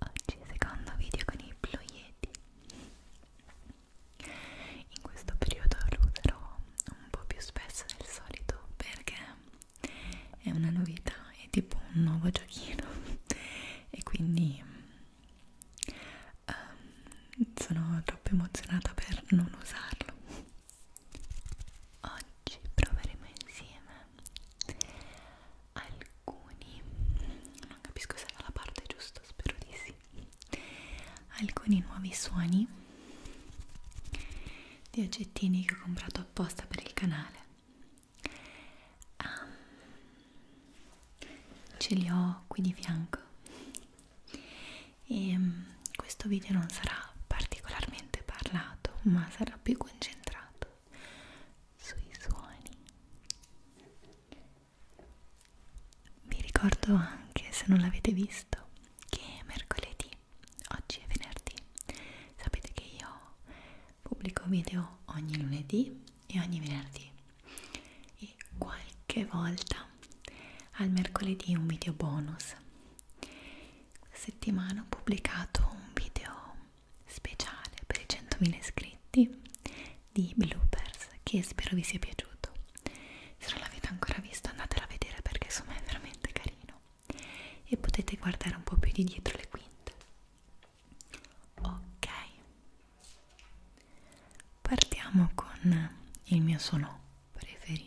Oggi secondo video con i Blue Yeti In questo periodo lo userò un po' più spesso del solito perché è una novità, è tipo un nuovo giochino e quindi um, sono troppo emozionata per non usarlo Oggi proveremo insieme alcuni non capisco se era la parte giusta spero di sì alcuni nuovi suoni di oggettini che ho comprato apposta per il canale um, ce li ho qui di fianco e um, questo video non sarà particolarmente parlato ma sarà più concentrato sui suoni vi ricordo anche, se non l'avete visto, che mercoledì, oggi è venerdì, sapete che io pubblico video ogni lunedì e ogni venerdì e qualche volta al mercoledì un video bonus. Settimana ho pubblicato un video speciale per i 100.000 iscritti di bloopers che spero vi sia piaciuto se non l'avete ancora visto andatela a vedere perché insomma è veramente carino e potete guardare un po' più di dietro le quinte ok partiamo con il mio suono preferito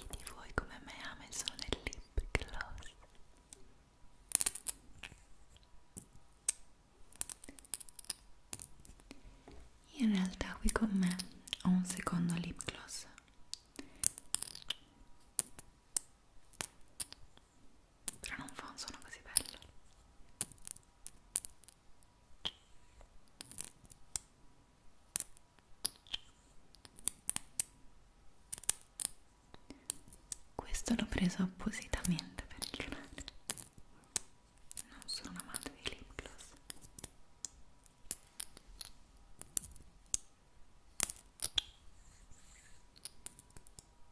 Chi di voi come me ha messo nel lip gloss? In realtà qui con me ho un secondo lip gloss però non fa un suono così bello questo l'ho preso appositamente per il canale non sono un amante di lip gloss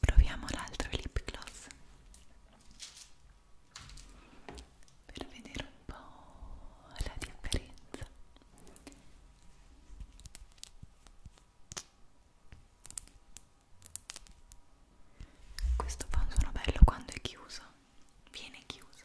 Proviamo l'altro lip gloss per vedere un po' la differenza. Questo fa un suono bello quando è chiuso viene chiuso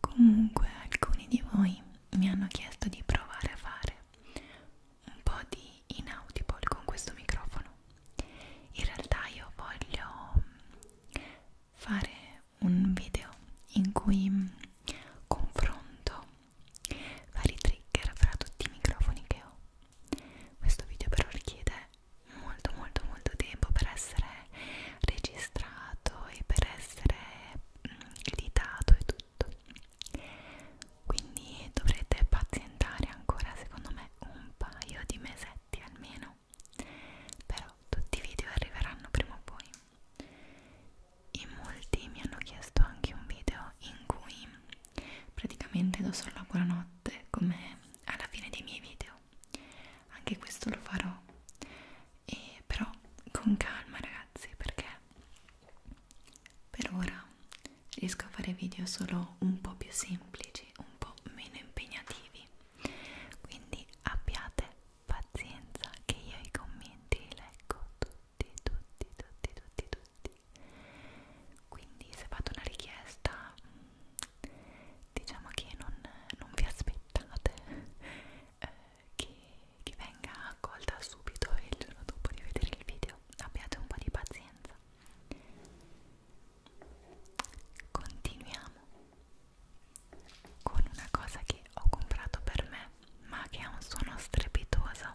Comunque alcuni di voi mi hanno chiesto di provare a fare un po' di inaudible con questo microfono. In realtà io voglio fare un video in cui confronto vari trigger fra tutti i microfoni che ho. Questo video però richiede molto molto molto tempo per essere registrato e per essere mm, editato e tutto quindi dovrete pazientare ancora secondo me un paio di mesetti almeno però tutti i video arriveranno prima o poi in molti mi hanno chiesto anche un video in cui praticamente do solo la buonanotte come alla fine dei miei video anche questo lo farò e però con calma ragazzi perché per ora riesco a fare video solo un po' più semplici un po' meno impegnativi quindi abbiate pazienza che io i commenti li leggo tutti tutti tutti tutti tutti quindi se fate una richiesta diciamo che non, non vi aspettate eh, che, che venga accolta subito e il giorno dopo di vedere il video abbiate un po' di pazienza continuiamo con una cosa che ho comprato per me ma che ha un suono strepitoso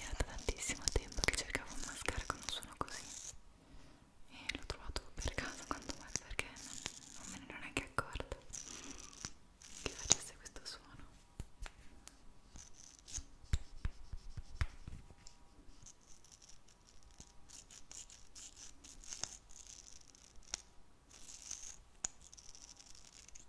Era da tantissimo tempo che cercavo un mascara con un suono così e l'ho trovato per caso quanto mai perché non me ne ero neanche accorta che facesse questo suono.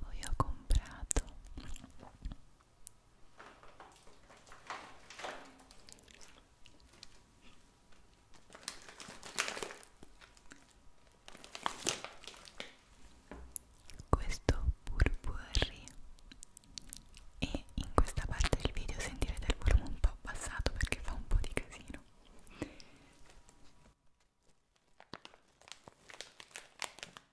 Poi ho comprato questo burburri e in questa parte del video sentirete il volume un po' abbassato perché fa un po' di casino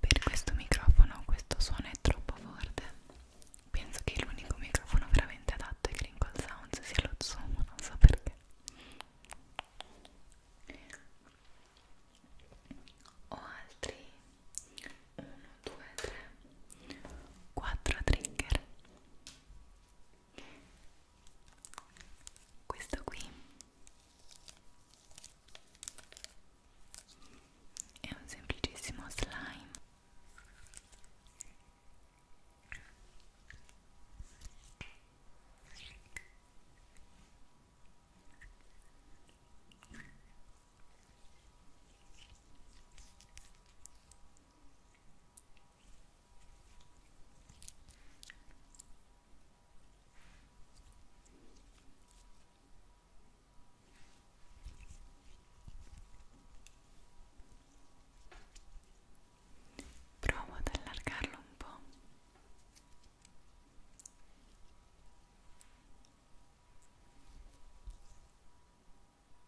Per questo microfono questo suono è troppo forte. Penso che l'unico microfono veramente adatto ai Crinkle Sounds sia lo Zoom, non so perché. Ho altri 1, 2, 3, 4 trigger questo qui è un semplicissimo slime Provo ad allargarlo un po'.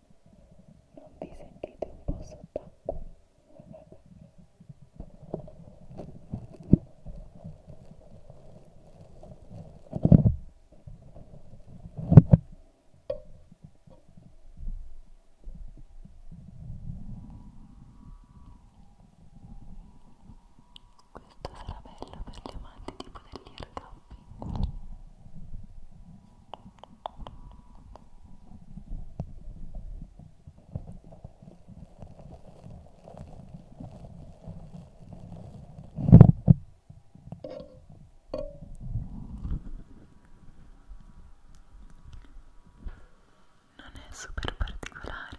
non vi sentite un po' sott'acqua? Questo sarà bello per gli amanti tipo dell'air camping non è super particolare.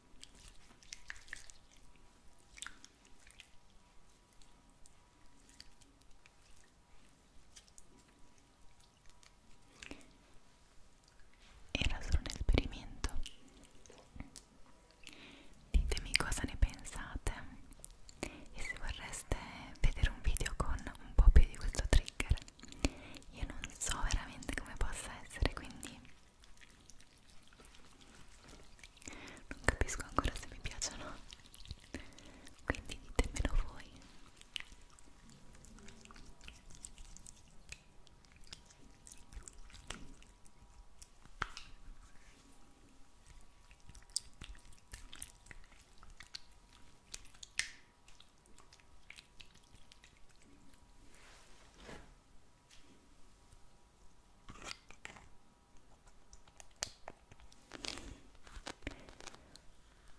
Era solo un esperimento. Ditemi cosa ne pensate e se vorreste vedere un video con un po' più di questo trigger. Io non so veramente come possa essere, quindi non capisco ancora se mi piacciono quindi ditemelo voi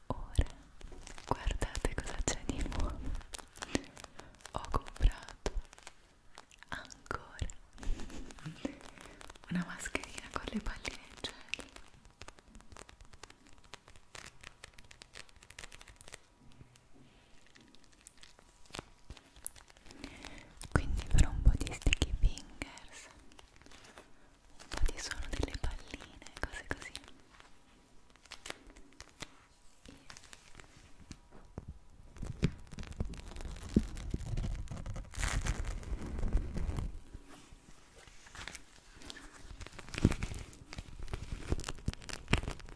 Ora guardate cosa c'è di nuovo. Ho comprato ancora una mascherina con le palline in gel quindi farò un po' di sticky fingers un po' di suono delle palline cose così e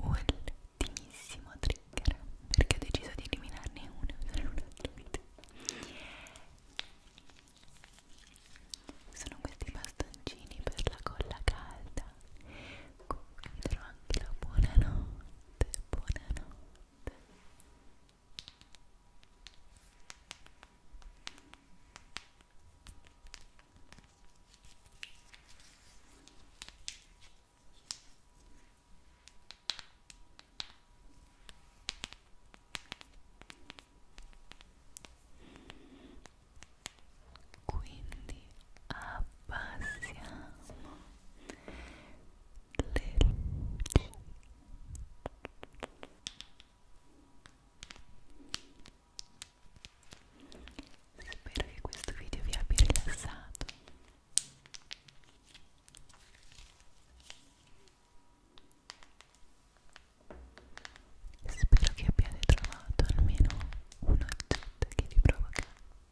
Ultimissimo trigger perché ho deciso di eliminarne uno e usare un altro video sono questi bastoncini per la colla calda comunque vi darò anche la buonanotte buonanotte Buonanotte quindi abbassiamo le luci spero che questo video vi abbia rilassato Spero che abbiate trovato almeno un'accetta che vi provoca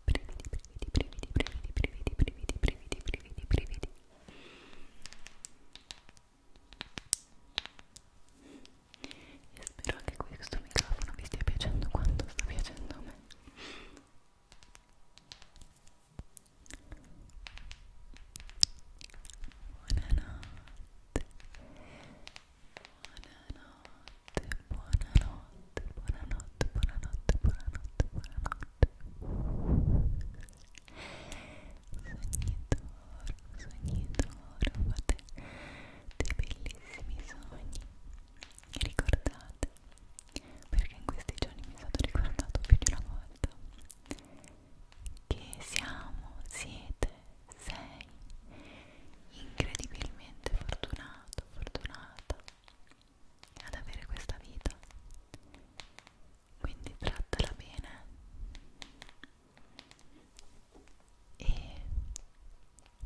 brividi, brividi, brividi, brividi, brividi, brividi, brividi, brividi, brividi. E spero anche questo microfono vi stia piacendo quanto sta piacendo a me. Buonanotte buonanotte, buonanotte, buonanotte, buonanotte, buonanotte. Sogni d'oro, sogni d'oro, fate dei bellissimi sogni. E ricordate, perché in questi giorni mi è stato ricordato più di una volta che siamo, siete, sei incredibilmente fortunato, fortunata ad avere questa vita. Quindi trattala bene e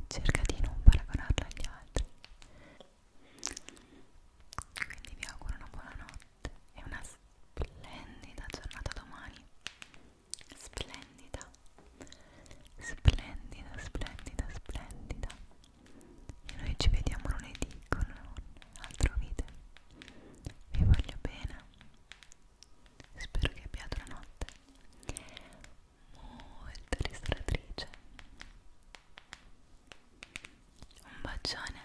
cerca di non paragonarla agli altri. Quindi vi auguro una buona notte e una splendida giornata domani splendida splendida splendida splendida e noi ci vediamo lunedì con un altro video vi voglio bene spero che abbiate una notte molto ristoratrice un bacione